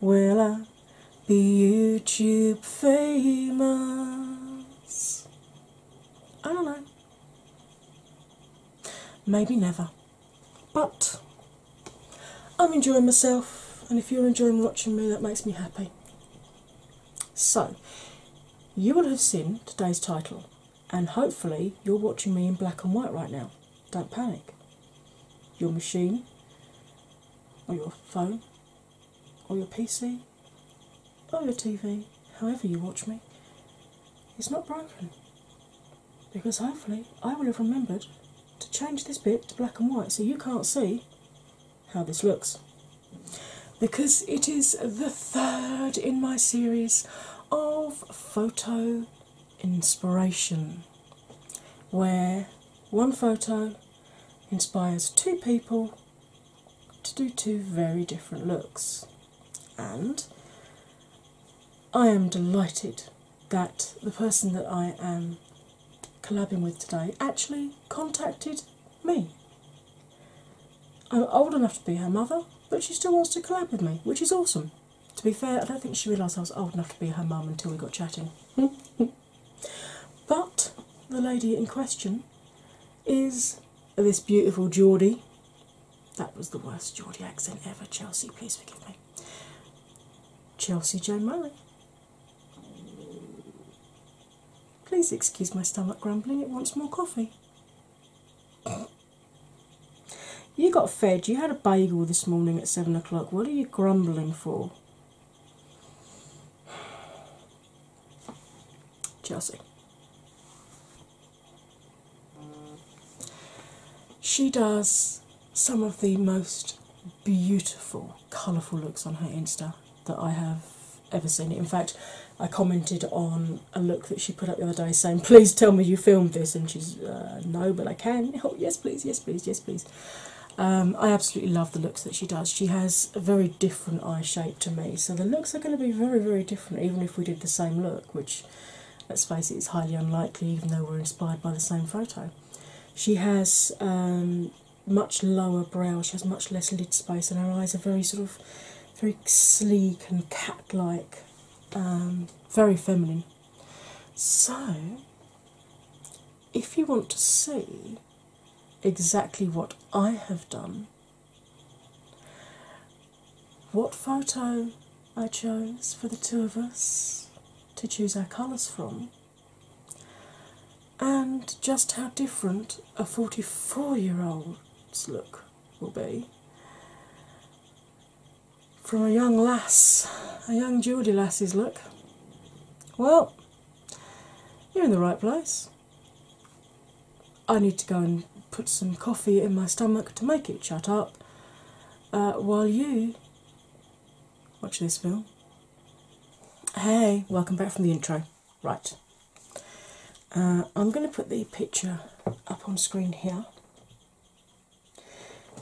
will I be YouTube famous? I don't know. Maybe never. But I'm enjoying myself, and if you're enjoying watching me, that makes me happy. So, you will have seen today's title, and hopefully, you're watching me in black and white right now don't panic. Your machine, or your phone, or your PC, or your TV, however you watch me, it's not broken. Because hopefully I will have remembered to change this bit to black and white so you can't see how this looks. Because it is the third in my series of photo inspiration, where one photo inspires two people to do two very different looks. And I am delighted that the person that I am collabing with today actually contacted me. I'm old enough to be her mother, but she still wants to collab with me, which is awesome. To be fair, I don't think she realised I was old enough to be her mum until we got chatting. but the lady in question is this beautiful Geordie. That was the worst Geordie accent ever, Chelsea, please forgive me. Chelsea Jane Murray. Please excuse my stomach grumbling, it wants more coffee. You got fed, you had a bagel this morning at seven o'clock. What are you grumbling for? Chelsea. She does some of the most beautiful, colourful looks on her Insta that I have ever seen. In fact, I commented on a look that she put up the other day saying, Please tell me you filmed this. And she's, uh, No, but I can. Oh, yes, please, yes, please, yes, please. Um, I absolutely love the looks that she does. She has a very different eye shape to me, so the looks are going to be very, very different, even if we did the same look, which, let's face it, is highly unlikely, even though we're inspired by the same photo. She has um, much lower brow, she has much less lid space, and her eyes are very sort of very sleek and cat like, um, very feminine. So, if you want to see exactly what I have done, what photo I chose for the two of us to choose our colours from, and just how different a 44 year old's look will be, from a young lass, a young Geordie lassie's look. Well, you're in the right place. I need to go and put some coffee in my stomach to make it shut up uh, while you watch this film. Hey, welcome back from the intro. Right, uh, I'm going to put the picture up on screen here.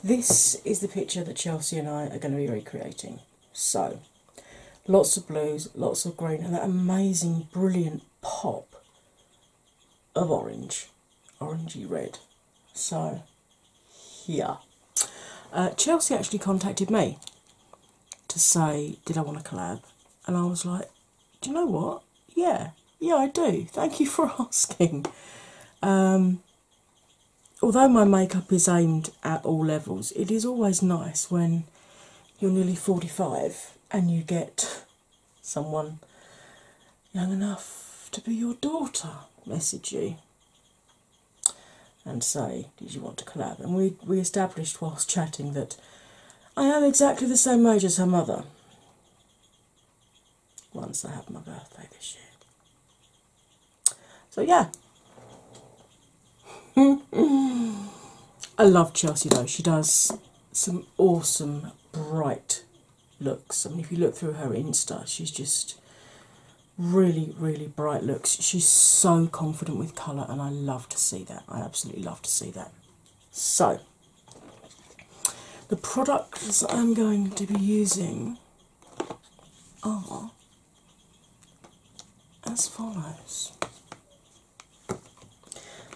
This is the picture that Chelsea and I are going to be recreating. So, lots of blues, lots of green, and that amazing, brilliant pop of orange, orangey red. So, here. Uh, Chelsea actually contacted me to say, Did I want to collab? And I was like, Do you know what? Yeah, yeah, I do. Thank you for asking. Um, although my makeup is aimed at all levels, it is always nice when you're nearly 45 and you get someone young enough to be your daughter message you and say, Did you want to collab? And we, we established whilst chatting that I am exactly the same age as her mother once I have my birthday this year. So, yeah. I love Chelsea though. She does some awesome, bright looks. I mean, if you look through her Insta, she's just really, really bright looks. She's so confident with colour, and I love to see that. I absolutely love to see that. So, the products I'm going to be using are as follows.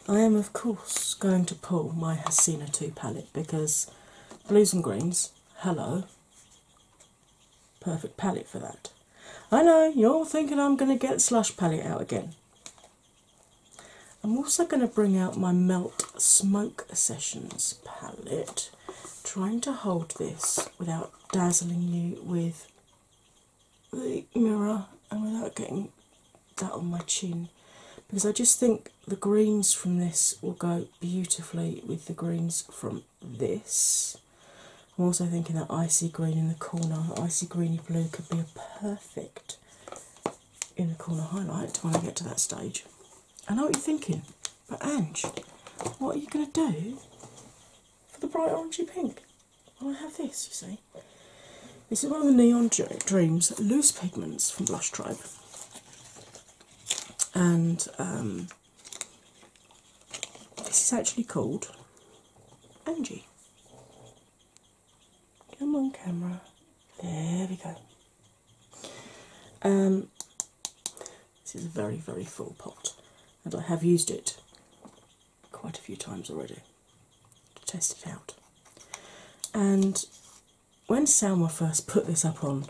I am, of course, going to pull my Hasina 2 palette because blues and greens, hello, perfect palette for that. I know, you're thinking I'm going to get Slush palette out again. I'm also going to bring out my Melt Smoke Sessions palette trying to hold this without dazzling you with the mirror and without getting that on my chin because I just think the greens from this will go beautifully with the greens from this. I'm also thinking that icy green in the corner, icy greeny blue could be a perfect inner corner highlight when I get to that stage. I know what you're thinking. But Angie, what are you going to do for the bright orangey pink? Well, I have this, you see. This is one of the Neon Dreams loose pigments from Blush Tribe. And um, this is actually called Angie. Come on, camera. There we go. Um, this is a very, very full pot, and I have used it quite a few times already to test it out. And when Salma first put this up on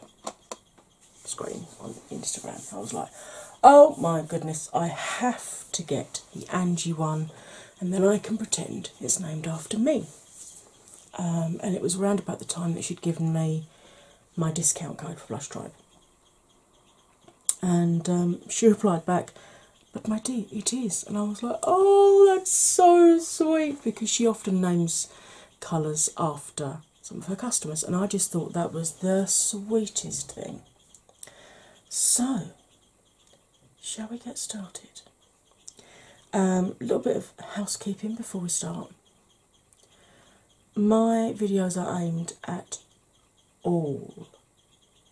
screen on Instagram, I was like, oh my goodness, I have to get the Angie one, and then I can pretend it's named after me. Um, and it was around about the time that she'd given me my discount code for Blush Tribe. And um, she replied back, but my dear, it is. And I was like, oh, that's so sweet because she often names colours after some of her customers, and I just thought that was the sweetest thing. So, shall we get started? A um, little bit of housekeeping before we start. My videos are aimed at all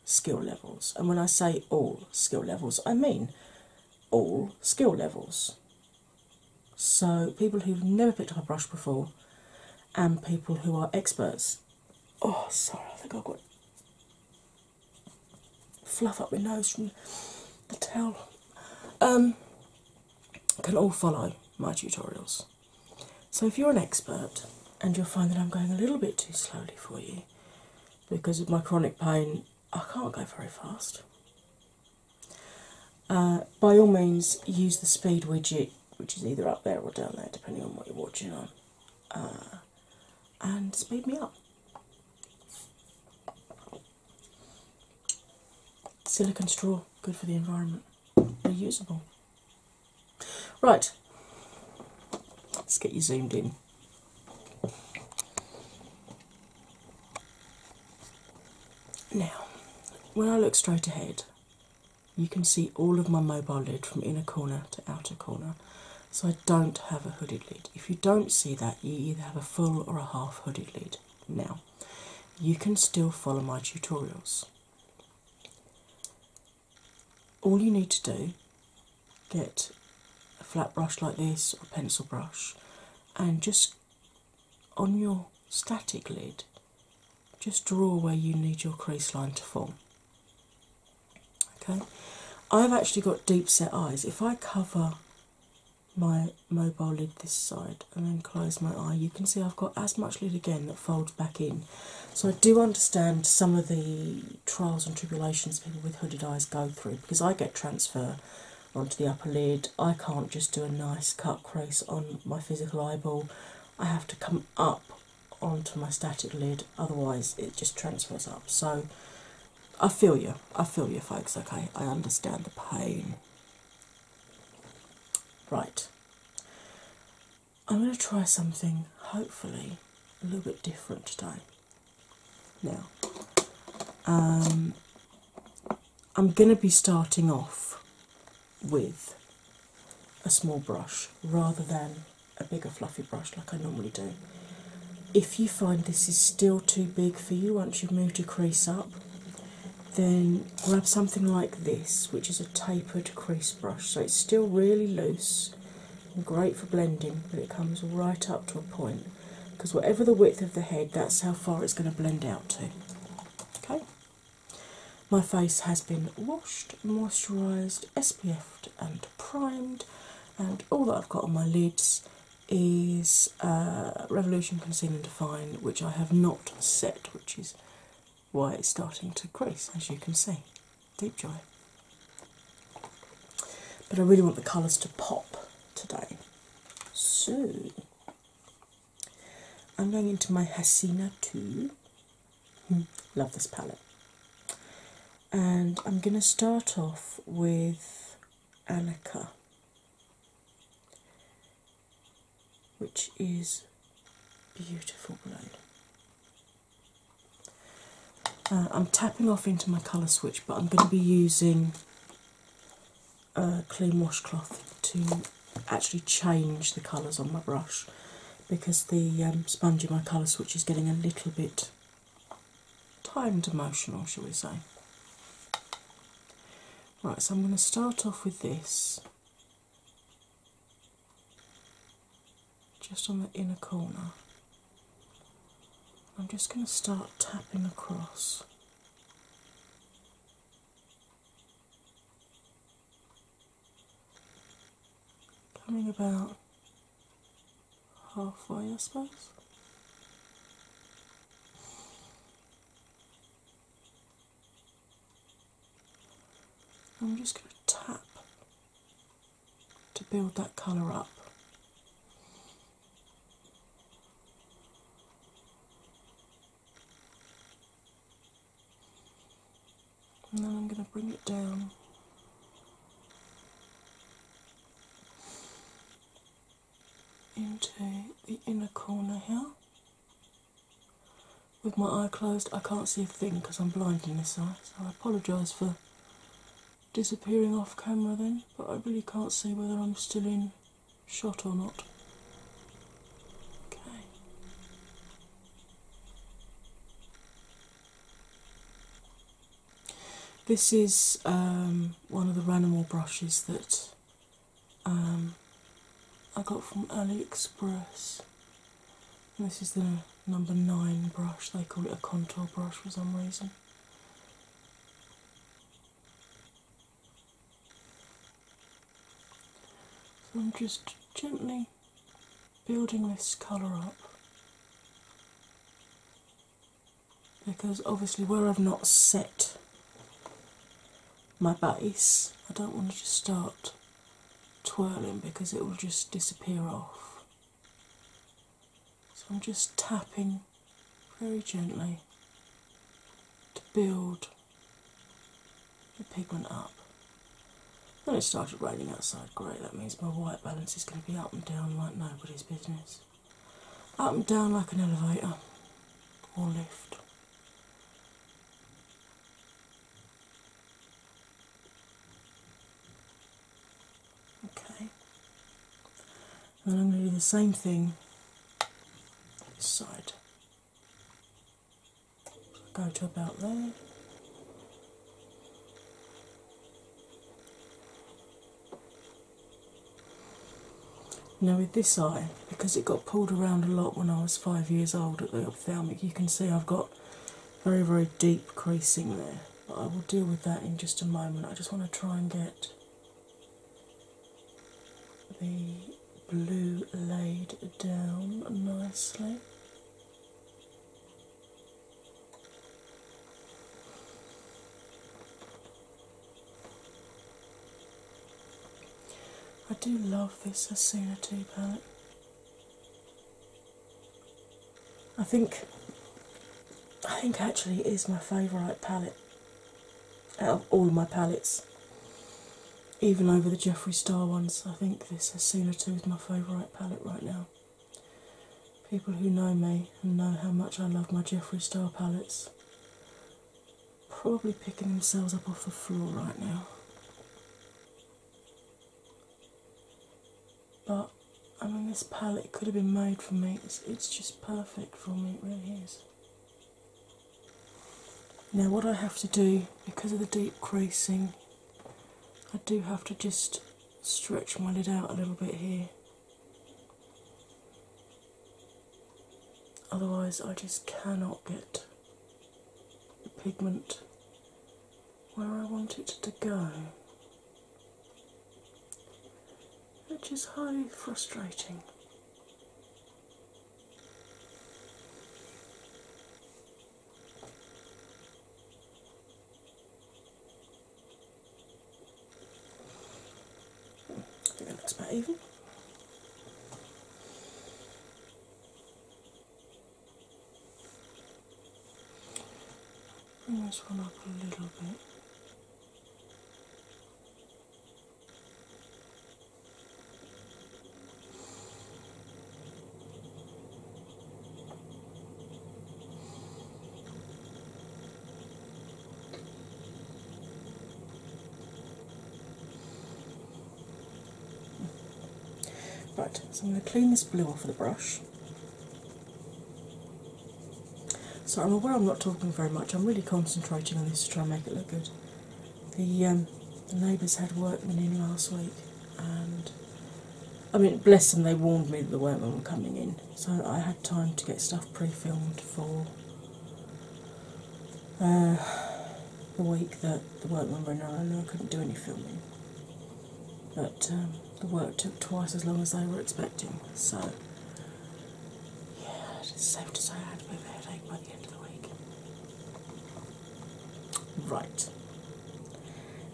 skill levels, and when I say all skill levels, I mean all skill levels. So, people who've never picked up a brush before, and people who are experts. Oh, sorry, I think I've got fluff up my nose from the tail. Um, can all follow my tutorials. So, if you're an expert and you'll find that I'm going a little bit too slowly for you because of my chronic pain, I can't go very fast. Uh, by all means, use the speed widget, which is either up there or down there, depending on what you're watching on, uh, and speed me up. Silicon straw, good for the environment. Reusable. Right, let's get you zoomed in. Now, when I look straight ahead, you can see all of my mobile lid from inner corner to outer corner. So I don't have a hooded lid. If you don't see that, you either have a full or a half hooded lid. Now, you can still follow my tutorials. All you need to do get a flat brush like this or a pencil brush and just on your static lid just draw where you need your crease line to form. Okay? I've actually got deep set eyes. If I cover my mobile lid this side and then close my eye, you can see I've got as much lid again that folds back in. So I do understand some of the trials and tribulations people with hooded eyes go through because I get transfer onto the upper lid. I can't just do a nice cut crease on my physical eyeball. I have to come up onto my static lid, otherwise it just transfers up. So I feel you, I feel you folks, okay? I understand the pain. Right, I'm going to try something hopefully a little bit different today. Now, um, I'm going to be starting off with a small brush rather than a bigger fluffy brush like I normally do. If you find this is still too big for you once you've moved your crease up, then grab something like this, which is a tapered crease brush. So it's still really loose and great for blending, but it comes right up to a point because whatever the width of the head, that's how far it's going to blend out to. Okay, my face has been washed, moisturised, SPF'd, and primed, and all that I've got on my lids is uh, Revolution Conceal and Define, which I have not set, which is why it's starting to crease, as you can see. Deep joy. But I really want the colours to pop today. So I'm going into my Hasina 2. Hmm, love this palette. And I'm going to start off with Annika which is beautiful blue. Uh, I'm tapping off into my colour switch, but I'm going to be using a uh, clean washcloth to actually change the colours on my brush because the um, sponge in my colour switch is getting a little bit timed emotional, shall we say. Right, so I'm going to start off with this just on the inner corner. I'm just going to start tapping across. Coming about halfway, I suppose. I'm just going to tap to build that colour up. And then I'm going to bring it down into the inner corner here. With my eye closed, I can't see a thing because I'm blind in this eye, so I apologise for disappearing off camera then, but I really can't see whether I'm still in shot or not. Okay. This is um, one of the Ranimal brushes that um, I got from AliExpress. this is the number nine brush. They call it a contour brush for some reason. I'm just gently building this colour up because obviously where I've not set my base. I don't want to just start twirling because it will just disappear off. So I'm just tapping very gently to build the pigment up. Then it started raining outside, great, that means my white balance is going to be up and down like nobody's business. Up and down like an elevator or lift. Okay. And I'm going to do the same thing this side. Go to about there. Now, with this eye, because it got pulled around a lot when I was five years old at the ophthalmic, you can see I've got very, very deep creasing there. I will deal with that in just a moment. I just want to try and get the blue laid down nicely. I do love this Asuna 2 palette. I think I think actually it is my favourite palette out of all my palettes. Even over the Jeffree Star ones, I think this Asuna 2 is my favourite palette right now. People who know me and know how much I love my Jeffree Star palettes probably picking themselves up off the floor right now. But I mean, this palette could have been made for me. It's, just perfect for me, it really is. Now, what I have to do because of the deep creasing, I do have to just stretch my lid out a little bit here. Otherwise, I just cannot get the pigment where I want it to go, which is highly frustrating. I think that looks about even. Bring this one up a little bit. But so I'm going to clean this blue off of the brush. So I'm aware I'm not talking very much, I'm really concentrating on this to try and make it look good. Um, the neighbours had workmen in last week, and I mean, bless them, they warned me that the workmen were coming in, so I had time to get stuff pre filmed for uh, the week that the work went on, I couldn't do any filming. But um, the work took twice as long as I was expecting, so yeah, it's safe to say I had a bit of a headache by the end of the week. Right,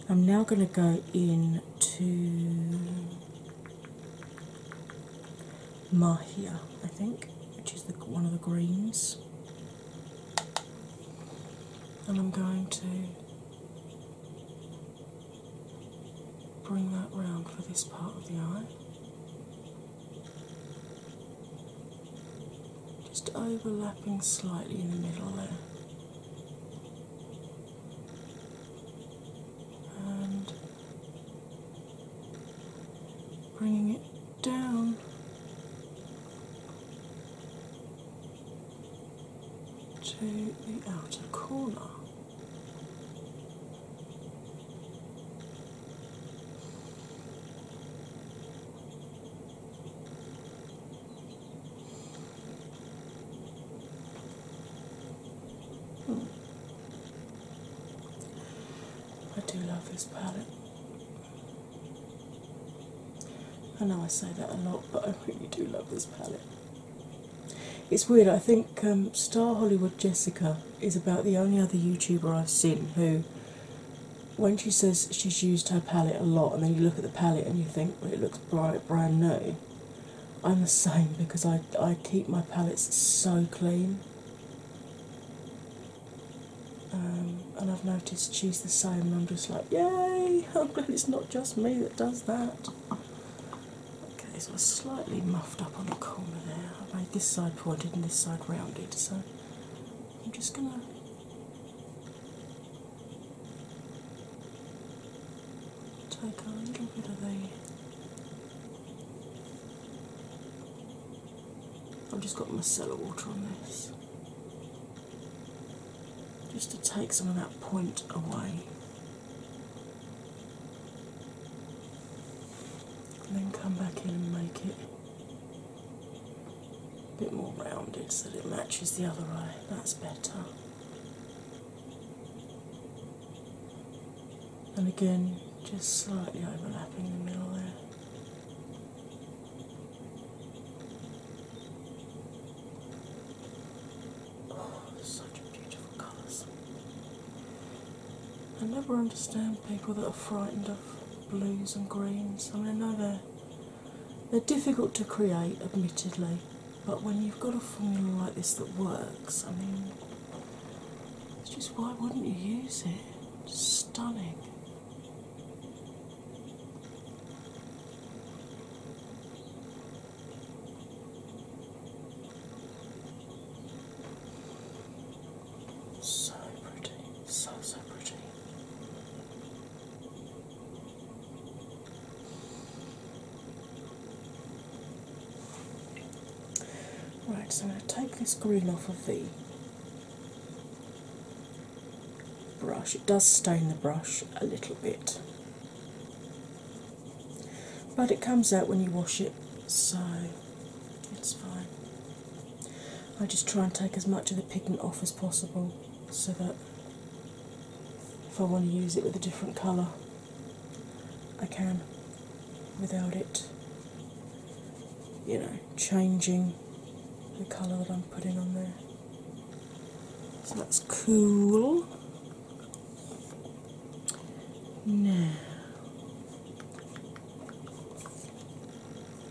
I'm now going to go in to Mahia, I think, which is the, one of the greens. And I'm going to bring that round for this part of the eye. Just overlapping slightly in the middle there bringing it down. To the outer corner. Hmm. I do love this palette. I know I say that a lot, but I really do love this palette. It's weird, I think um, Star Hollywood Jessica is about the only other YouTuber I've seen who, when she says she's used her palette a lot, and then you look at the palette and you think well, it looks bright, brand new, I'm the same because I, I keep my palettes so clean. Um, and I've noticed she's the same, and I'm just like, yay! I'm glad it's not just me that does that. Okay, so I slightly muffed up on the corner there. I made this side pointed and this side rounded, so I'm just gonna take a little bit of the I've just got my cellar water on this just to take some of that point away and then come back in and make it a bit more rounded so that it matches the other eye. That's better and again just slightly overlapping the middle there. Oh, such beautiful colours. I never understand people that are frightened of blues and greens. I mean, I know they're, they're difficult to create, admittedly, but when you've got a formula like this that works, I mean, it's just why wouldn't you use it? stunning. So pretty, so so pretty. Right, so I'm going to take this green off of the brush. It does stain the brush a little bit, but it comes out when you wash it, so it's fine. I just try and take as much of the pigment off as possible so that if I want to use it with a different colour, I can without it, you know, changing the colour that I'm putting on there. So that's cool. Now,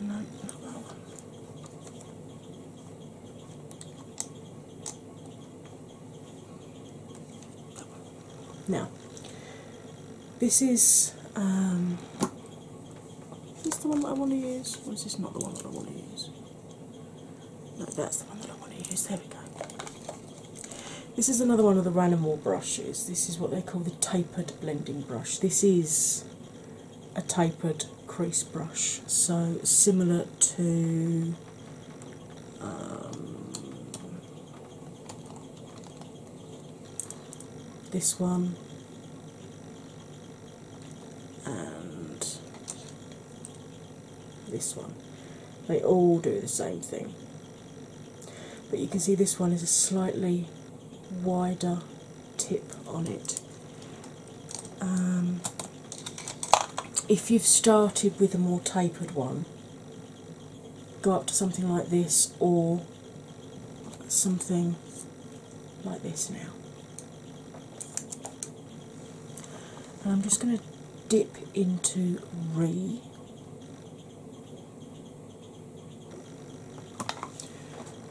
not That one. Now, this um, is this the one that I want to use, or is this not the one that I want to use? No, that's the one that I want to use. There we go. This is another one of the Ranamore brushes. This is what they call the tapered blending brush. This is a tapered crease brush, so similar to um, this one, and this one. They all do the same thing. But you can see this one is a slightly wider tip on it. Um, if you've started with a more tapered one, go up to something like this or something like this now. I'm just going to dip into Re.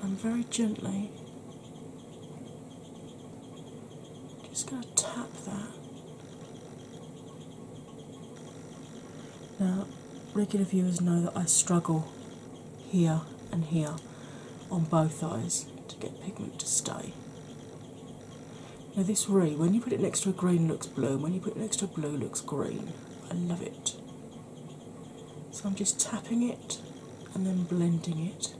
And very gently just going to tap that now, regular viewers know that I struggle here and here on both eyes to get pigment to stay. Now, this re, when you put it next to a green, looks blue, when you put it next to a blue, looks green. I love it. So I'm just tapping it and then blending it,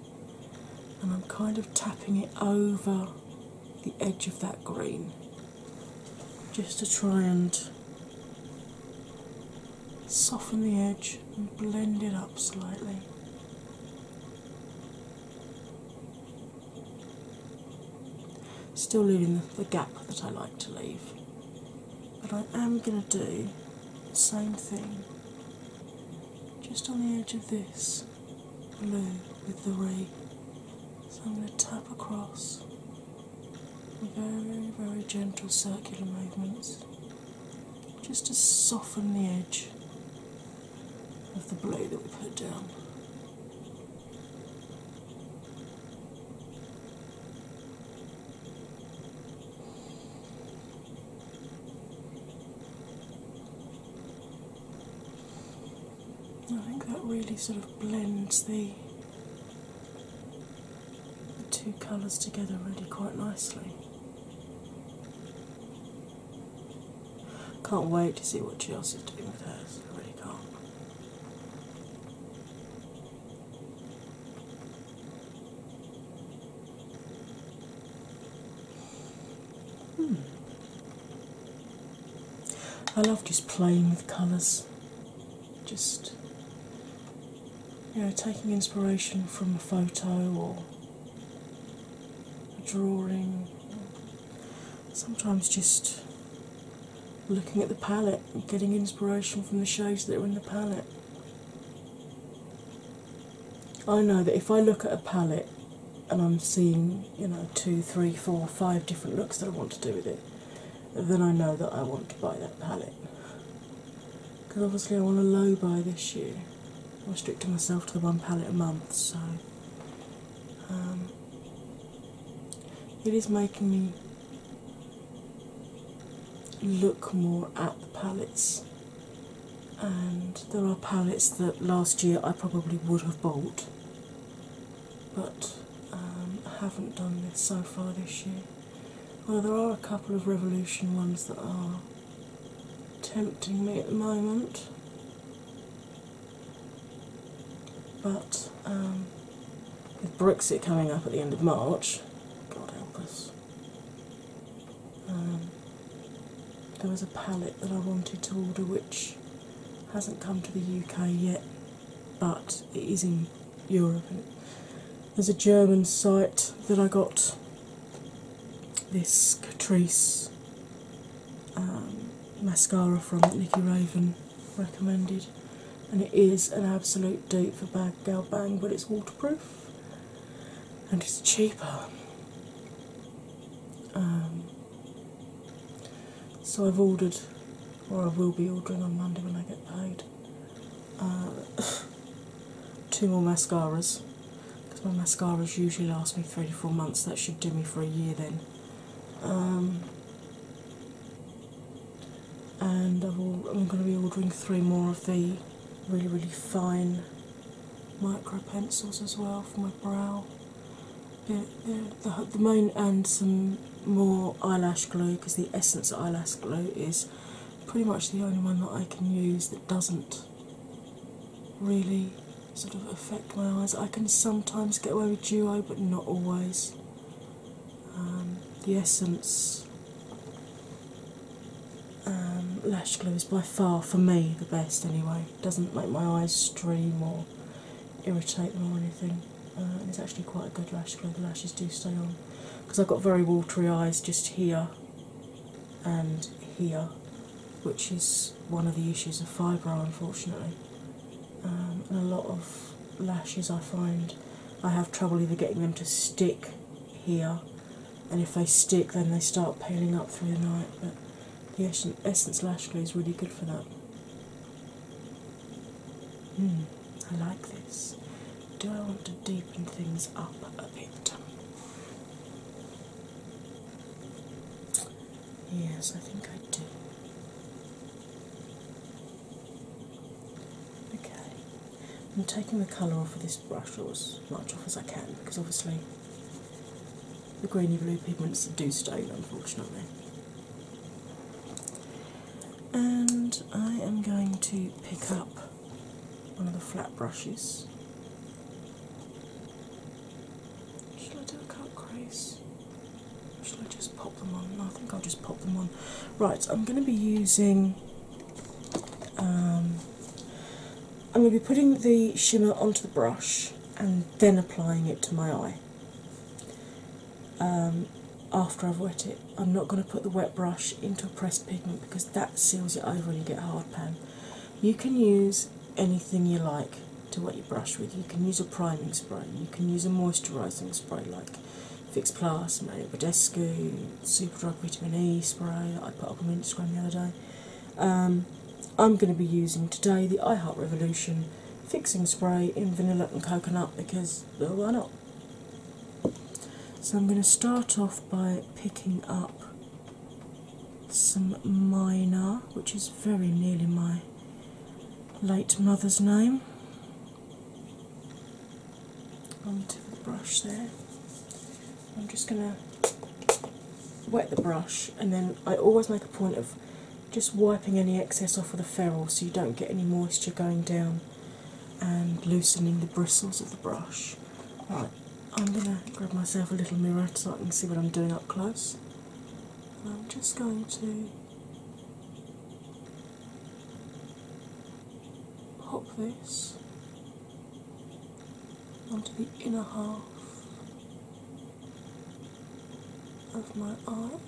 and I'm kind of tapping it over the edge of that green just to try and soften the edge and blend it up slightly. Still leaving the, gap that I like to leave, but I am going to do the same thing just on the edge of this blue with the ray. So I'm going to tap across very, very gentle circular movements just to soften the edge of the blade that we put down. I think that really sort of blends the the two colours together really quite nicely. Can't wait to see what Chelsea's doing with hers, I really can't. Hmm. I love just playing with colours just you know taking inspiration from a photo or a drawing sometimes just looking at the palette and getting inspiration from the shades that are in the palette i know that if i look at a palette and i'm seeing you know two three four five different looks that i want to do with it then I know that I want to buy that palette. Because obviously I want a low buy this year. I'm restricting myself to the one palette a month, so um, it is making me look more at the palettes. And there are palettes that last year I probably would have bought but um, I haven't done this so far this year. Well, there are a couple of Revolution ones that are tempting me at the moment, but um, with Brexit coming up at the end of March, God help us. Um, there was a palette that I wanted to order which hasn't come to the UK yet, but it is in Europe. There's a German site that I got this Catrice um, mascara from Nikki Raven recommended, and it is an absolute dupe for Bag Gal Bang, but it's waterproof and it's cheaper. Um, so I've ordered, or I will be ordering on Monday when I get paid, uh, two more mascaras. Because my mascaras usually last me three to four months. That should do me for a year then. Um, and I'm going to be ordering three more of the really, really fine micro pencils as well for my brow. the main and some more eyelash glue because the Essence eyelash glue is pretty much the only one that I can use that doesn't really sort of affect my eyes. I can sometimes get away with duo, but not always. Um, the Essence um, lash glue is by far, for me, the best anyway. It doesn't make my eyes stream or irritate them or anything. Uh, and it's actually quite a good lash glue. The lashes do stay on because I've got very watery eyes just here and here, which is one of the issues of fibro, unfortunately. Um, and a lot of lashes I find I have trouble either getting them to stick here, and if they stick, then they start paling up through the night. But the Essence Lash Glue is really good for that. Mm, I like this. Do I want to deepen things up a bit? Yes, I think I do. Okay, I'm taking the colour off of this brush or as much off as I can because obviously the greeny blue pigments do stain, unfortunately. And I am going to pick up one of the flat brushes. Should I do a cut crease? Or should I just pop them on? I think I'll just pop them on. Right, I'm going to be using. Um, I'm going to be putting the shimmer onto the brush and then applying it to my eye. Um, after I've wet it. I'm not going to put the wet brush into a pressed pigment because that seals it over and you get hard pan. You can use anything you like to wet your brush with. You can use a priming spray, you can use a moisturising spray like Fix Plus, Mario Badescu, Superdrug Vitamin E spray that I put up on Instagram the other day. Um, I'm going to be using today the iHeart Revolution fixing spray in vanilla and coconut because well, why not? So I'm going to start off by picking up some minor, which is very nearly my late mother's name, onto the brush there. I'm just going to wet the brush, and then I always make a point of just wiping any excess off with a ferrule so you don't get any moisture going down and loosening the bristles of the brush. Right, I'm going to grab myself a little mirror so I can see what I'm doing up close. And I'm just going to pop this onto the inner half of my arm.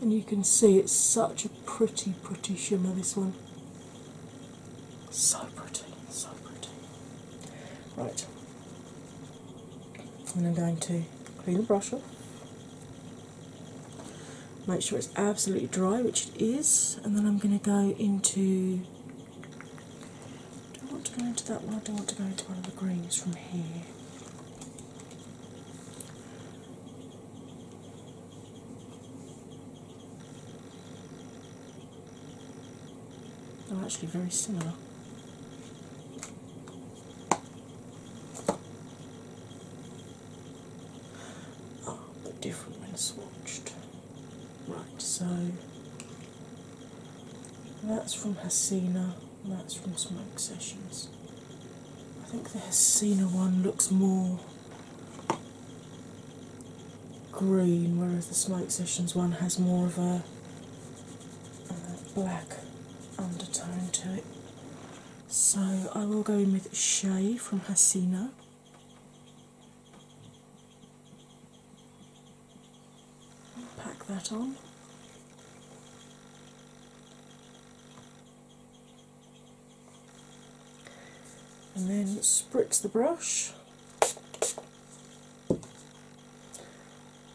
And you can see it's such a pretty, pretty shimmer, this one. So pretty, so pretty. Right. And I'm going to clean the brush off. Make sure it's absolutely dry, which it is, and then I'm going to go into I don't want to go into that one, I don't want to go into one of the greens from here. They're actually very similar. Oh, but different when watched. Right, so that's from Hasina, that's from Smoke Sessions. I think the Hasina one looks more green, whereas the Smoke Sessions one has more of a, black undertone to it. So I will go in with Shay from Hasina pack that on. And then spritz the brush,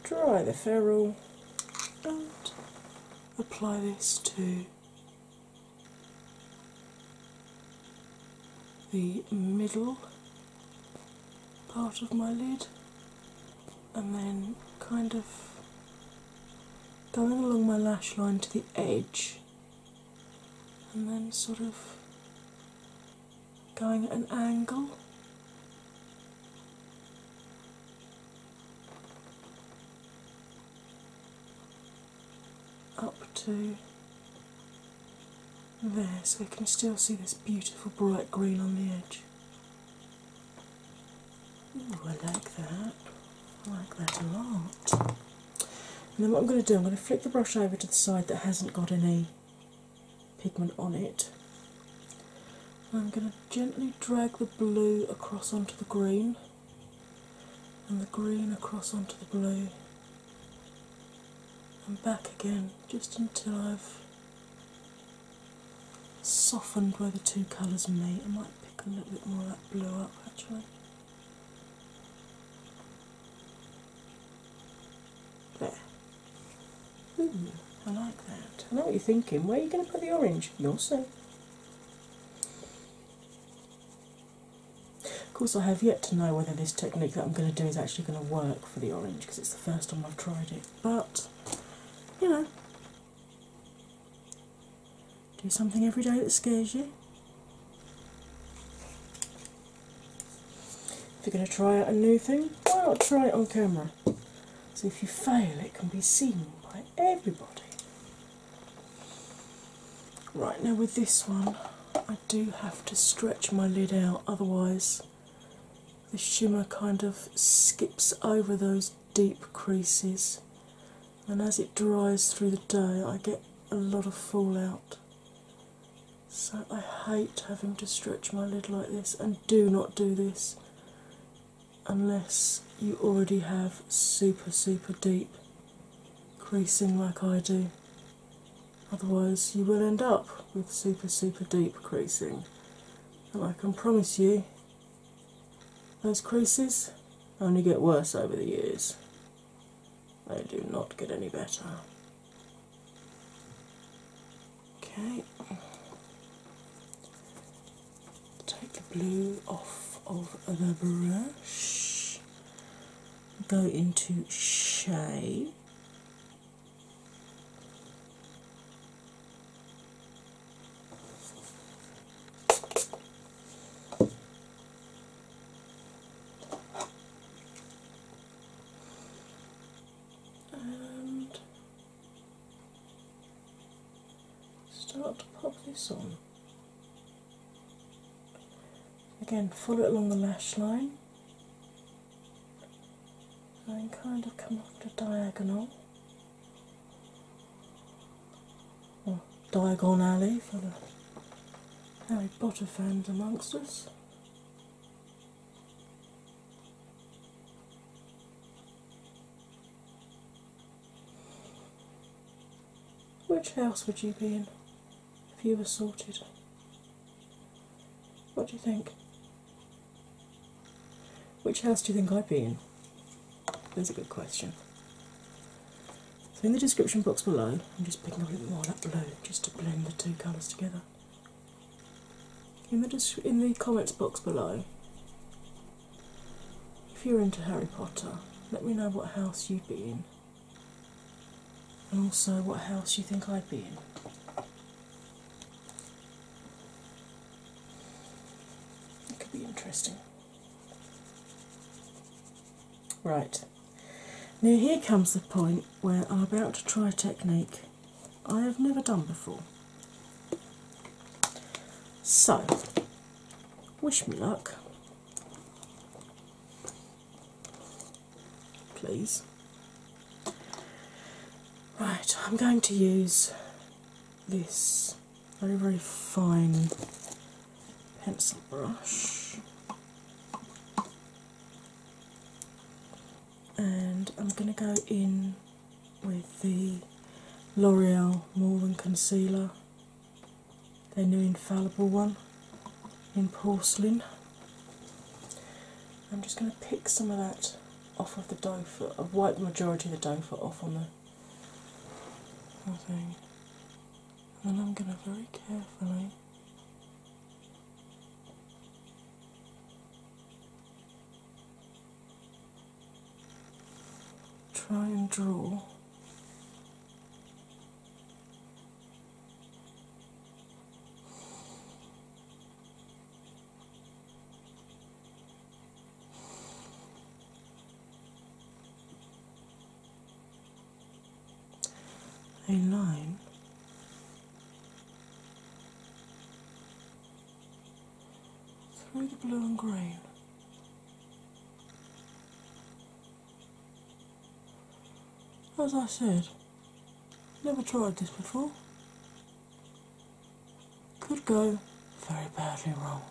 dry the ferrule, and apply this to the middle part of my lid and then kind of going along my lash line to the edge and then sort of going at an angle. Up to there, so you can still see this beautiful bright green on the edge. Oh, I like that. I like that a lot. And then what I'm going to do, I'm going to flip the brush over to the side that hasn't got any pigment on it. I'm going to gently drag the blue across onto the green and the green across onto the blue and back again just until I've softened where the two colours meet. I might pick a little bit more of that blue up actually. There. Ooh, I like that. I know what you're thinking. Where are you going to put the orange? You'll see. Of course, I have yet to know whether this technique that I'm going to do is actually going to work for the orange because it's the first time I've tried it, but you know, do something every day that scares you. If you're going to try out a new thing, why not try it on camera? So if you fail, it can be seen by everybody. Right now, with this one, I do have to stretch my lid out, otherwise, the shimmer kind of skips over those deep creases, and as it dries through the day, I get a lot of fallout. So I hate having to stretch my lid like this, and do not do this unless you already have super, super deep creasing like I do otherwise, you will end up with super, super deep creasing. And I can promise you, those creases only get worse over the years, they do not get any better. Okay, take the blue off of the brush, go into shade and start to pop this on. Again, follow it along the lash line and kind of come off the diagonal or diagon alley for the Harry Potter fans amongst us. Which house would you be in if you were sorted? What do you think? Which house do you think I'd be in? That's a good question. So, in the description box below, I'm just picking a little more of that blue just to blend the two colours together. In the, in the comments box below, if you're into Harry Potter, let me know what house you'd be in and also what house do you think I'd be in. It could be interesting. Right, now here comes the point where I'm about to try a technique I have never done before. So, wish me luck please. Right, I'm going to use this very, very fine pencil brush. And I'm going to go in with the L'Oreal More Than Concealer, their new infallible one in porcelain. I'm just going to pick some of that off of the dough foot. I've wiped the majority of the dough foot off on the thing. And then I'm going to very carefully try and draw a line through the blue and green. As I said, Never tried this before. Could go very badly wrong.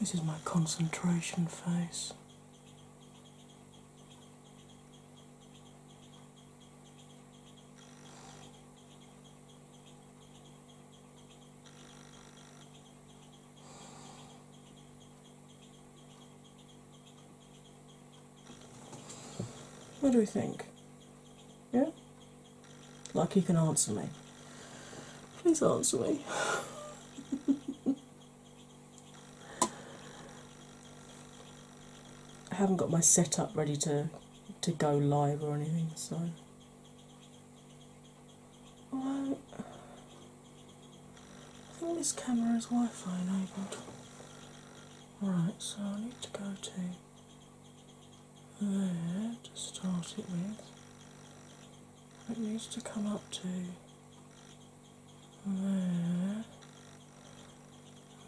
This is my concentration face. What do we think? Yeah? Like you can answer me. Please answer me. I haven't got my setup ready to to go live or anything, so well, I think this camera is Wi-Fi enabled. Right, so I need to go to there to start it with it needs to come up to there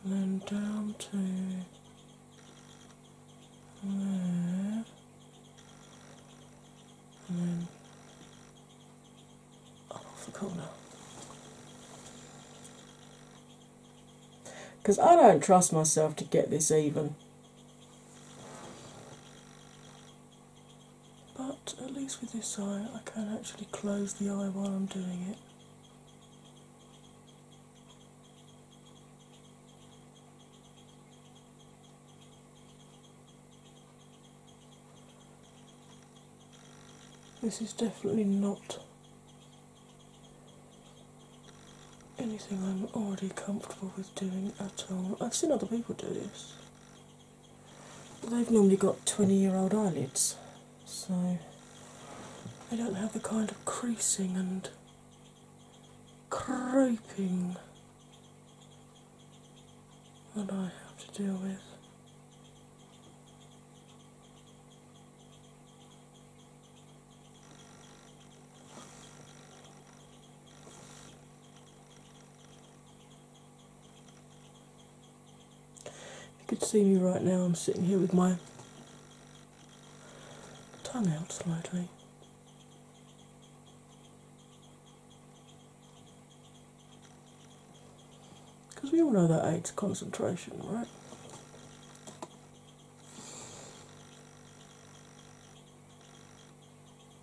then down to there and then up off Because I don't trust myself to get this even but at least with this eye I can actually close the eye while I'm doing it. This is definitely not anything I'm already comfortable with doing at all. I've seen other people do this they've normally got 20 year old eyelids, so they don't have the kind of creasing and creeping that I have to deal with. You could see me right now, I'm sitting here with my tongue out slightly. Because we all know that aids concentration, right?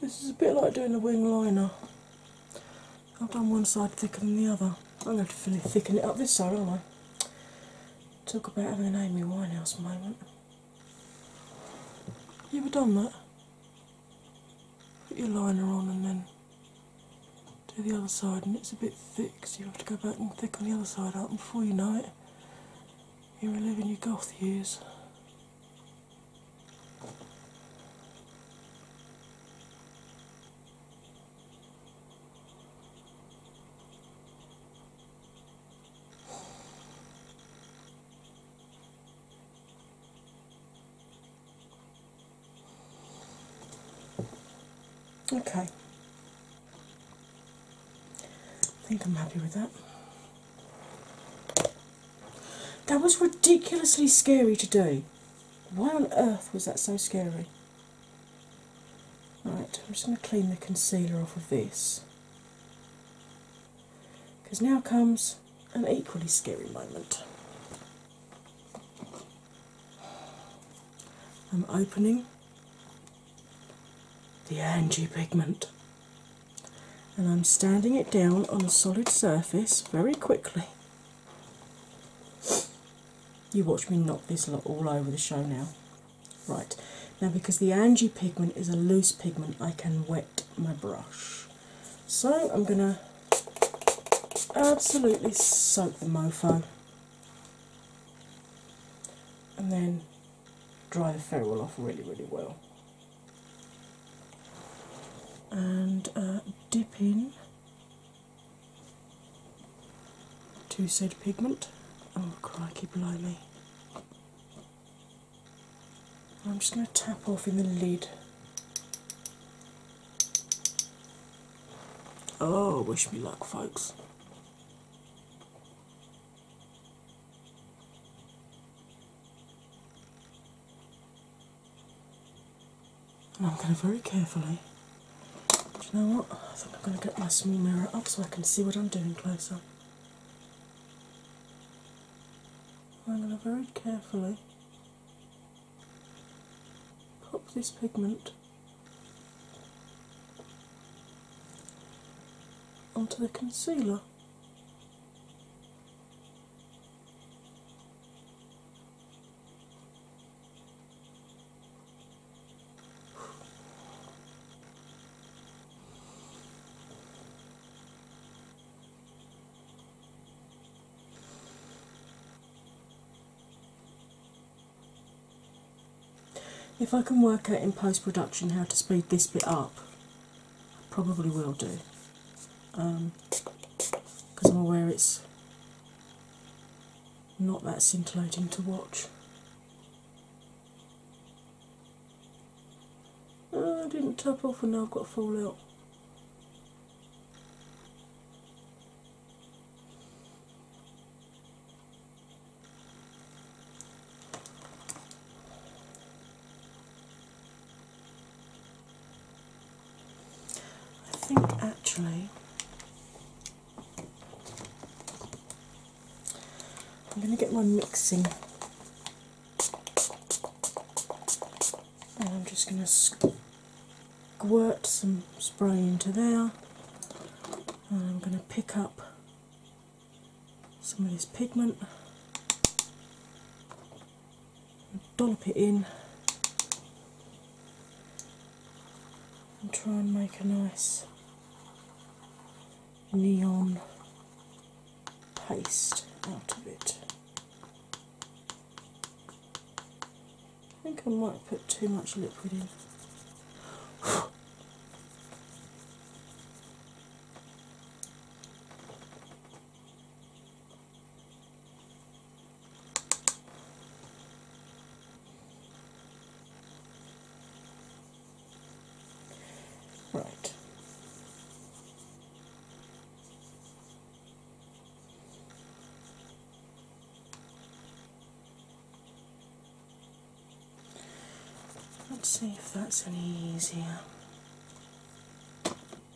This is a bit like doing a wing liner. I've done one side thicker than the other. I'm going to have thicken it up this side, aren't I? Talk about having an Amy Winehouse moment. You ever done that? Put your liner on and then do the other side, and it's a bit thick, so you have to go back and thicken the other side up, before you know it, you're living your goth years. Okay. I think I'm happy with that. That was ridiculously scary today. do. Why on earth was that so scary? Right, I'm just going to clean the concealer off of this. Because now comes an equally scary moment. I'm opening the Angie pigment and I'm standing it down on a solid surface very quickly you watch me knock this lot all over the show now. Right, now because the Angie pigment is a loose pigment, I can wet my brush. So I'm going to absolutely soak the mofo and then dry the ferrule off really, really well and uh, dip in to said pigment. Oh, crikey, blimey. I'm just going to tap off in the lid. Oh, wish me luck, folks and I'm going to very carefully. Do you know what? I think I'm going to get my small mirror up so I can see what I'm doing closer. I'm going to very carefully pop this pigment onto the concealer. If I can work out in post production how to speed this bit up, probably will do because um, I'm aware it's not that scintillating to watch. Uh, I didn't tap off and now I've got fallout. I think actually I'm going to get my mixing and I'm just going to squirt some spray into there and I'm going to pick up some of this pigment dump it in and try and make a nice neon paste out of it. I think I might put too much liquid in. Right. Let's see if that's any easier.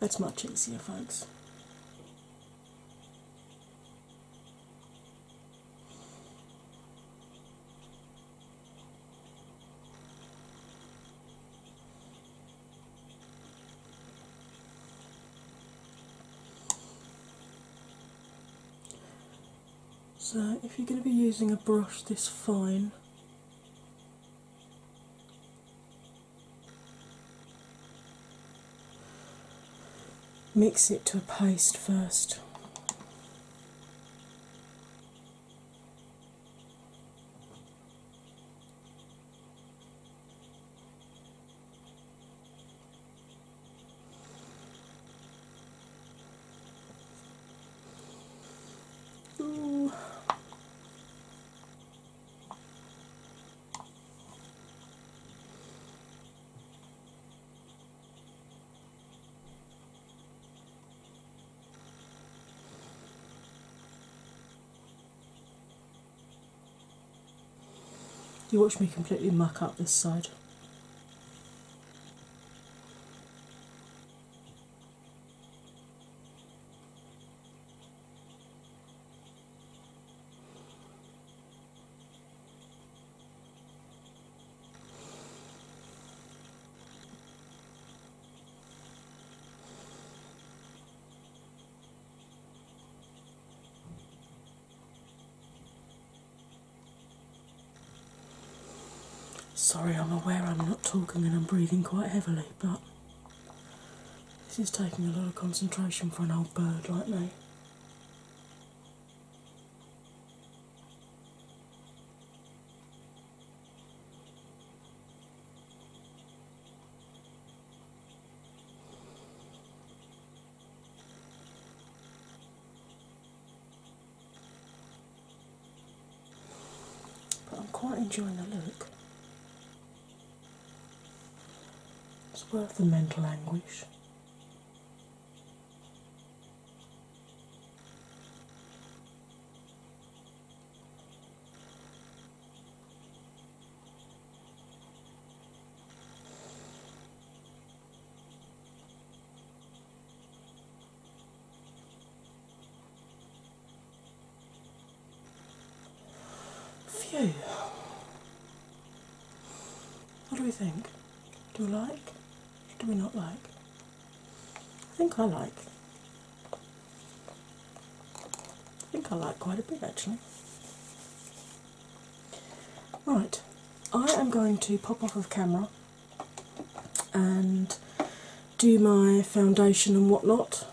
That's much easier, folks. So if you're going to be using a brush this fine, mix it to a paste first. Ooh. You watch me completely muck up this side. Sorry, I'm aware I'm not talking and I'm breathing quite heavily, but this is taking a lot of concentration for an old bird like me. But I'm quite enjoying the look. It's worth the mental anguish. Phew. What do we think? Do we like? Do we not like? I think I like. I think I like quite a bit actually. Right, I am going to pop off of camera and do my foundation and whatnot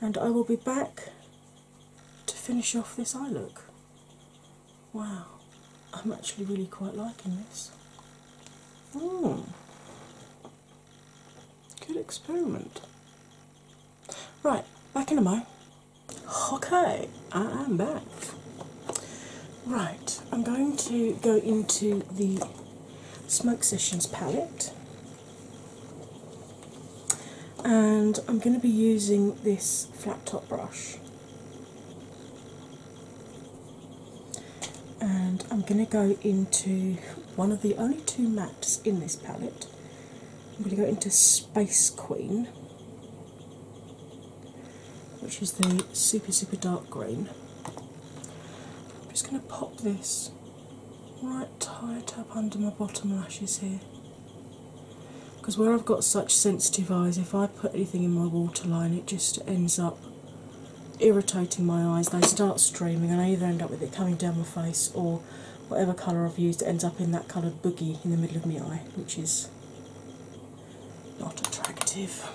and I will be back to finish off this eye look. Wow, I'm actually really quite liking this. Mm. Good experiment. Right, back in a mo. Okay, I am back. Right, I'm going to go into the Smoke Sessions palette and I'm going to be using this flat top brush. And I'm going to go into one of the only two mattes in this palette. I'm going to go into Space Queen, which is the super, super dark green. I'm just going to pop this right quite tight up under my bottom lashes here. Because where I've got such sensitive eyes, if I put anything in my waterline, it just ends up irritating my eyes. They start streaming, and I either end up with it coming down my face or whatever colour I've used ends up in that coloured boogie in the middle of my eye, which is not attractive.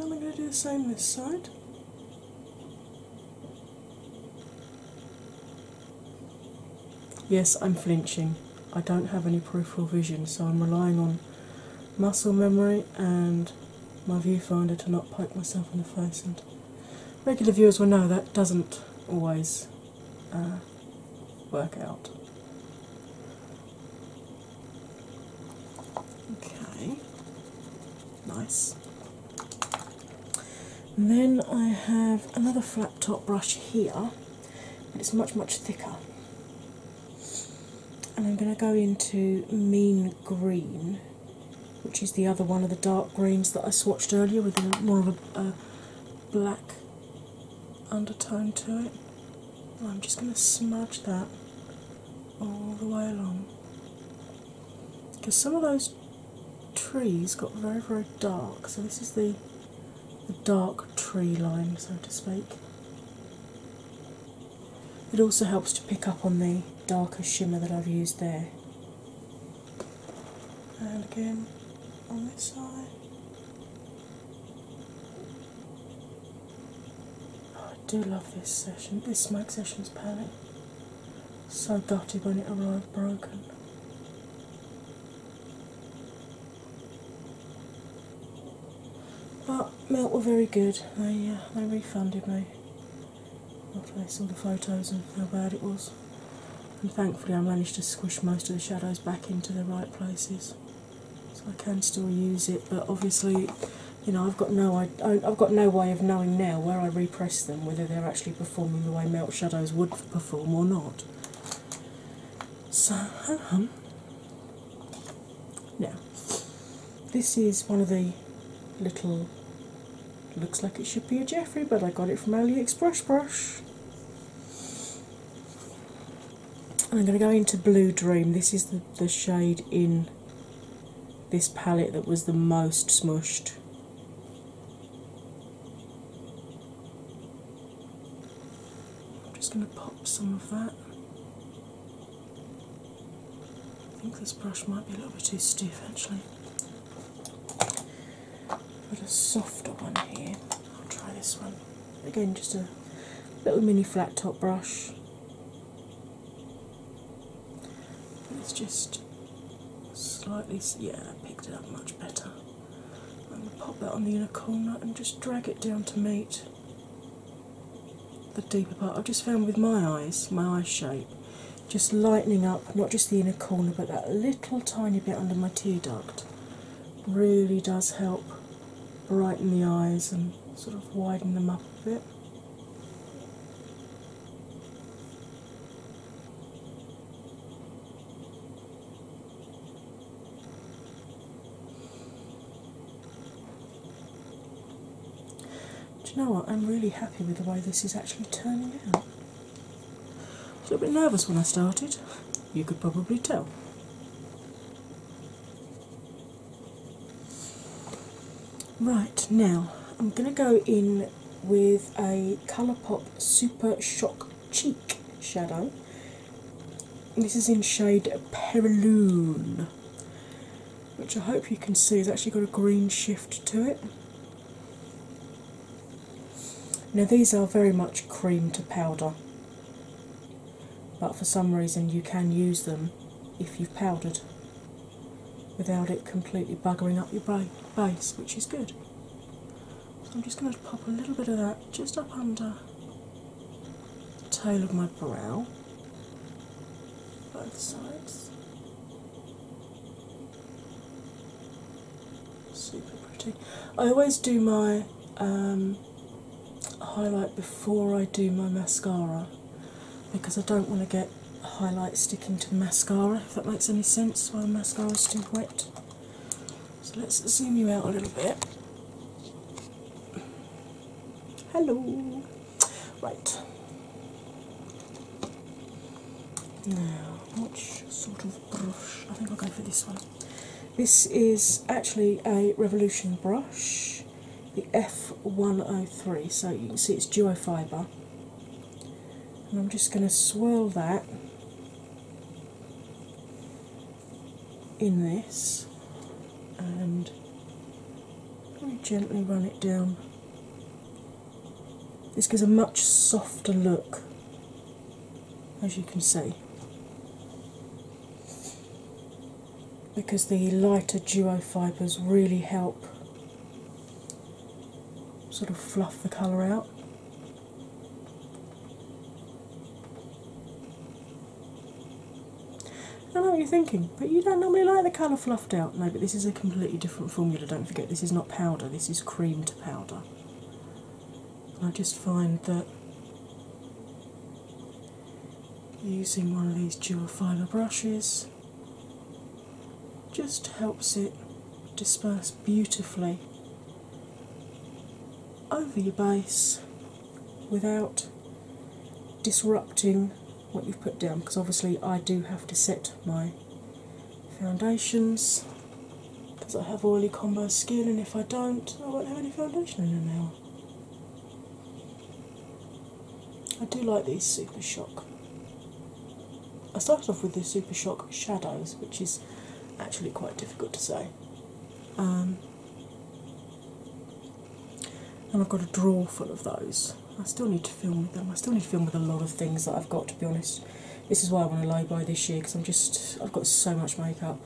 Am i going to do the same this side. Yes, I'm flinching. I don't have any peripheral vision, so I'm relying on muscle memory and my viewfinder to not poke myself in the face. And regular viewers will know that doesn't always uh, work out. Okay, nice. then I have another flat top brush here, but it's much, much thicker. And I'm going to go into Mean Green, which is the other one of the dark greens that I swatched earlier with a, more of a, black undertone to it. I'm just going to smudge that all the way along because some of those trees got very very dark so this is the dark tree line so to speak it also helps to pick up on the darker shimmer that i've used there and again on this side I do love this session, this session is panic, So gutted when it arrived broken. But Melt were very good. They uh, they refunded me after they saw the photos and how bad it was. And thankfully I managed to squish most of the shadows back into the right places. So I can still use it, but obviously you know, I've got no, I, I've got no way of knowing now where I repress them whether they're actually performing the way melt shadows would perform or not. So, um, now this is one of the little. Looks like it should be a Jeffrey, but I got it from AliExpress brush. I'm going to go into Blue Dream. This is the, the shade in this palette that was the most smushed. I'm just going to pop some of that. I think this brush might be a little bit too stiff actually. Put a softer one here. I'll try this one. Again, just a little mini flat top brush. It's just slightly, yeah, that picked it up much better. I'm going to pop that on the inner corner and just drag it down to meet the deeper part. I've just found with my eyes, my eye shape, just lightening up not just the inner corner but that little tiny bit under my tear duct really does help brighten the eyes and sort of widen them up a bit. Do you know what? I'm really happy with the way this is actually turning out. I was a little bit nervous when I started, you could probably tell. Right now, I'm going to go in with a ColourPop Super Shock Cheek shadow. This is in shade Periloon, which I hope you can see has actually got a green shift to it. Now, these are very much cream to powder, but for some reason, you can use them if you've powdered without it completely buggering up your base, which is good. So I'm just going to pop a little bit of that just up under the tail of my brow, both sides. Super pretty. I always do my um, highlight before I do my mascara because I don't want to get highlight sticking to the mascara, if that makes any sense, while the is too wet. So let's zoom you out a little bit. Hello! Right. Now, which sort of brush? I think I'll go for this one. This is actually a Revolution brush the F103, so you can see it's duofiber. And I'm just going to swirl that in this and gently run it down. This gives a much softer look, as you can see, because the lighter duo fibres really help sort of fluff the colour out. I know what you're thinking, but you don't normally like the colour fluffed out. No, but this is a completely different formula. Don't forget, this is not powder, this is cream to powder. I just find that using one of these dual fibre brushes just helps it disperse beautifully over your base without disrupting what you've put down because obviously I do have to set my foundations because I have oily combo skin and if I don't I won't have any foundation in an hour. I do like these Super Shock. I started off with the Super Shock Shadows, which is actually quite difficult to say. Um, and I've got a drawer full of those. I still need to film with them. I still need to film with a lot of things that I've got, to be honest. This is why I want to lay by this year because I'm just I've got so much makeup,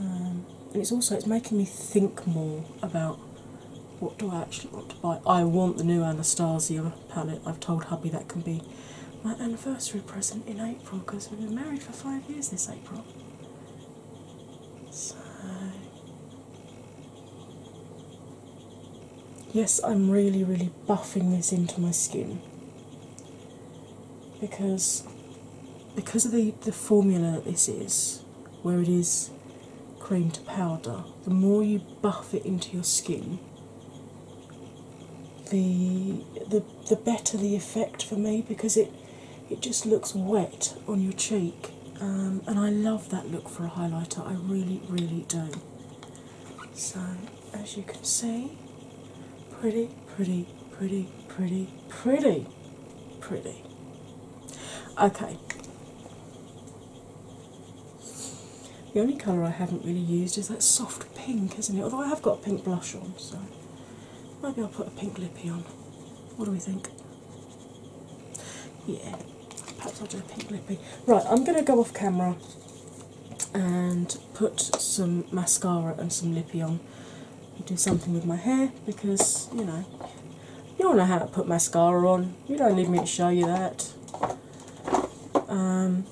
um, and it's also it's making me think more about what do I actually want to buy? I want the new Anastasia palette. I've told hubby that can be my anniversary present in April because we've been married for five years this April. So yes, I'm really, really buffing this into my skin because because of the the formula that this is where it is cream to powder, the more you buff it into your skin, the the the better the effect for me because it it just looks wet on your cheek. Um, and I love that look for a highlighter, I really, really do. So, as you can see, pretty, pretty, pretty, pretty, pretty, pretty. Okay, the only colour I haven't really used is that soft pink, isn't it? Although I have got pink blush on, so maybe I'll put a pink lippy on. What do we think? Yeah, perhaps I'll do a pink lippy. Right, I'm going to go off camera and put some mascara and some lippy on and do something with my hair because you know you don't know how to put mascara on you don't need me to show you that. Um,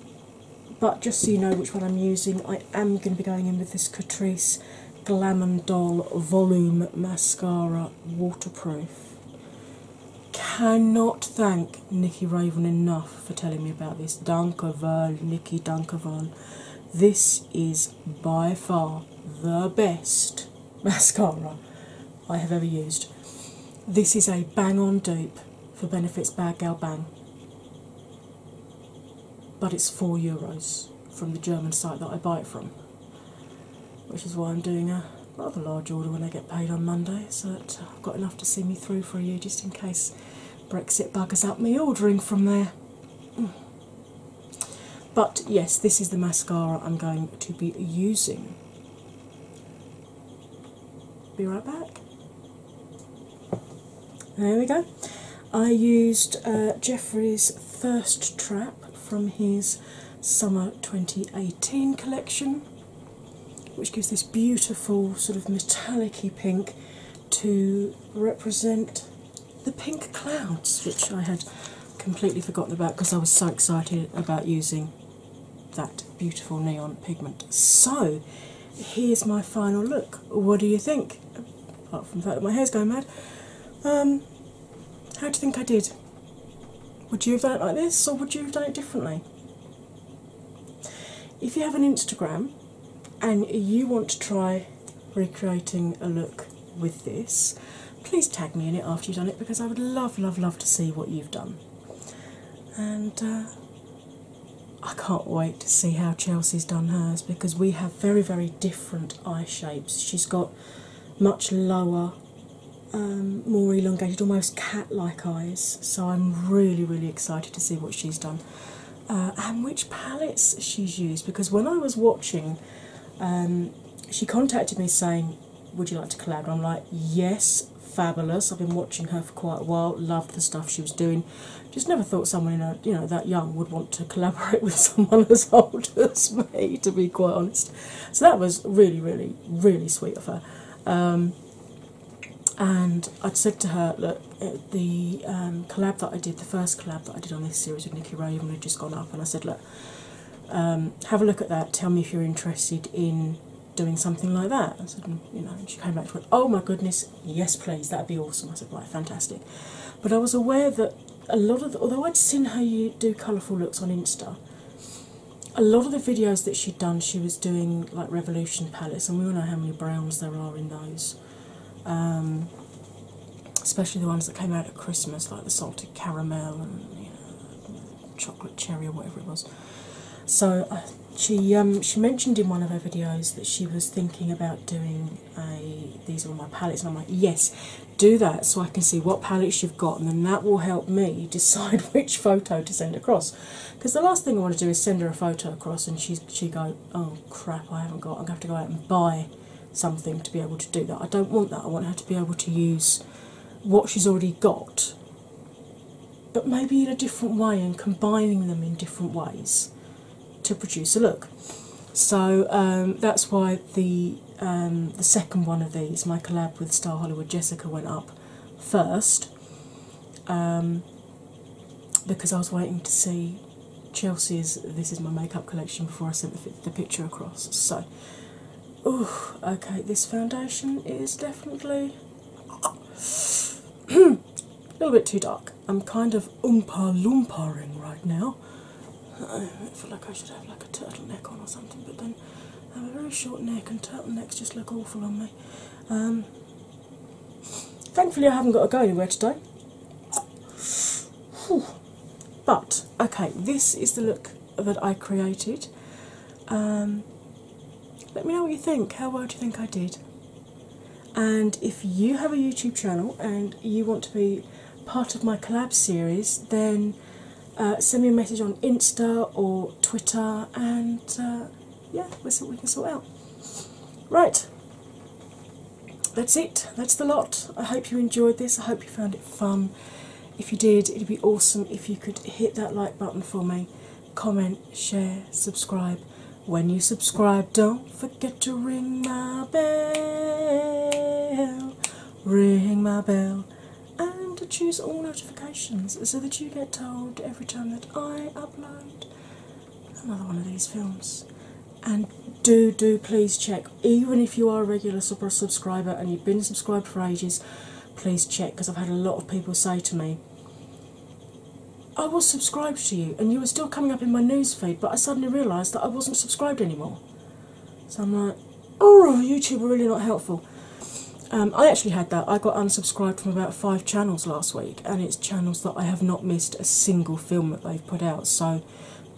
but just so you know which one I'm using, I am going to be going in with this Catrice Glam and Doll Volume Mascara Waterproof. Cannot thank Nikki Raven enough for telling me about this. Dankoval, Nikki Dankoval. This is by far the best mascara I have ever used. This is a bang on dupe for Benefits Bad Gal Bang, but it's four euros from the German site that I buy it from, which is why I'm doing a rather large order when I get paid on Monday, so that I've got enough to see me through for a year just in case Brexit buggers up me ordering from there. But yes, this is the mascara I'm going to be using. Be right back. There we go. I used uh, Jeffrey's First Trap from his summer 2018 collection, which gives this beautiful sort of metallicy pink to represent the pink clouds, which I had completely forgotten about because I was so excited about using that beautiful neon pigment. So, here's my final look. What do you think? Apart from the fact that my hair's going mad, um, how do you think I did? Would you have done it like this or would you have done it differently? If you have an Instagram and you want to try recreating a look with this, please tag me in it after you've done it because I would love, love, love to see what you've done. And uh, I can't wait to see how Chelsea's done hers because we have very, very different eye shapes. She's got much lower, um, more elongated, almost cat like eyes. So I'm really, really excited to see what she's done uh, and which palettes she's used because when I was watching, um, she contacted me saying, would you like to collaborate? I'm like, yes, fabulous. I've been watching her for quite a while, loved the stuff she was doing. Just never thought someone you know that young would want to collaborate with someone as old as me, to be quite honest. So that was really, really, really sweet of her. Um, and I'd said to her, look, uh, the um, collab that I did, the first collab that I did on this series with Nikki Raven had just gone up, and I said, look, um, have a look at that. Tell me if you're interested in doing something like that." I said, mm, "You know," she came back and went, "Oh my goodness, yes, please. That'd be awesome." I said, "Right, fantastic." But I was aware that a lot of, although I'd seen her you do colourful looks on Insta, a lot of the videos that she'd done, she was doing like Revolution Palettes, and we all know how many browns there are in those. Um, especially the ones that came out at Christmas, like the salted caramel chocolate cherry or whatever it was. So uh, she um, she mentioned in one of her videos that she was thinking about doing a these are my palettes, and I'm like, yes, do that so I can see what palettes you've got, and then that will help me decide which photo to send across. Because the last thing I want to do is send her a photo across, and she's she go, oh crap, I haven't got. I'm gonna have to go out and buy something to be able to do that. I don't want that. I want her to be able to use what she's already got, but maybe in a different way and combining them in different ways to produce a look. So um, that's why the um, the second one of these, my collab with Star Hollywood Jessica, went up first um, because I was waiting to see Chelsea's This Is My Makeup collection before I sent the, the picture across. So Oh, okay, this foundation is definitely a little bit too dark. I'm kind of oompa loomparing right now. I feel like I should have like a turtleneck on or something, but then I have a very short neck and turtlenecks just look awful on me. Um, thankfully, I haven't got to go anywhere today. But okay, this is the look that I created. Um, let me know what you think. How well do you think I did? And if you have a YouTube channel and you want to be part of my collab series, then uh, send me a message on Insta or Twitter, and uh, yeah, we can sort out. Right, that's it. That's the lot. I hope you enjoyed this. I hope you found it fun. If you did, it'd be awesome if you could hit that like button for me. Comment, share, subscribe. When you subscribe, don't forget to ring my bell. Ring my bell. And to choose all notifications so that you get told every time that I upload another one of these films. And do, do please check even if you are a regular subscriber and you've been subscribed for ages, please check because I've had a lot of people say to me, I was subscribed to you and you were still coming up in my news feed, but I suddenly realised that I wasn't subscribed anymore. So I'm like, oh, YouTube are really not helpful. Um, I actually had that. I got unsubscribed from about five channels last week, and it's channels that I have not missed a single film that they've put out. So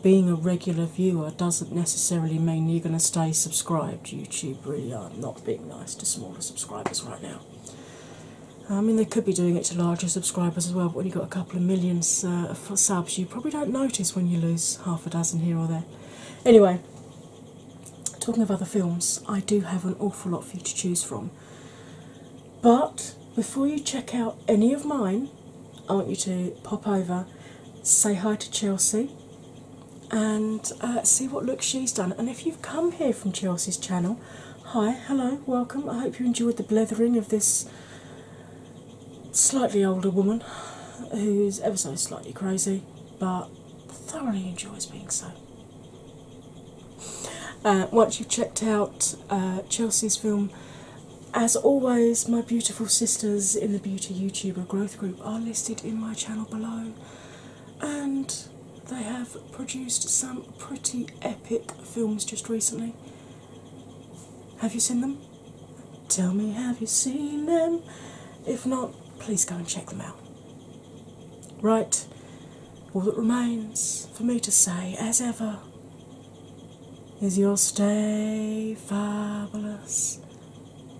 being a regular viewer doesn't necessarily mean you're going to stay subscribed. YouTube really are not being nice to smaller subscribers right now. I um, mean, they could be doing it to larger subscribers as well, but when you've got a couple of millions of uh, subs, you probably don't notice when you lose half a dozen here or there. Anyway, talking of other films, I do have an awful lot for you to choose from. But before you check out any of mine, I want you to pop over, say hi to Chelsea, and uh, see what look she's done. And if you've come here from Chelsea's channel, hi, hello, welcome. I hope you enjoyed the blithering of this slightly older woman who's ever so slightly crazy but thoroughly enjoys being so. Uh, once you've checked out uh, Chelsea's film, as always, my beautiful sisters in the Beauty YouTuber Growth Group are listed in my channel below, and they have produced some pretty epic films just recently. Have you seen them? Tell me, have you seen them? If not, please go and check them out. Right, all that remains for me to say, as ever, is your stay fabulous.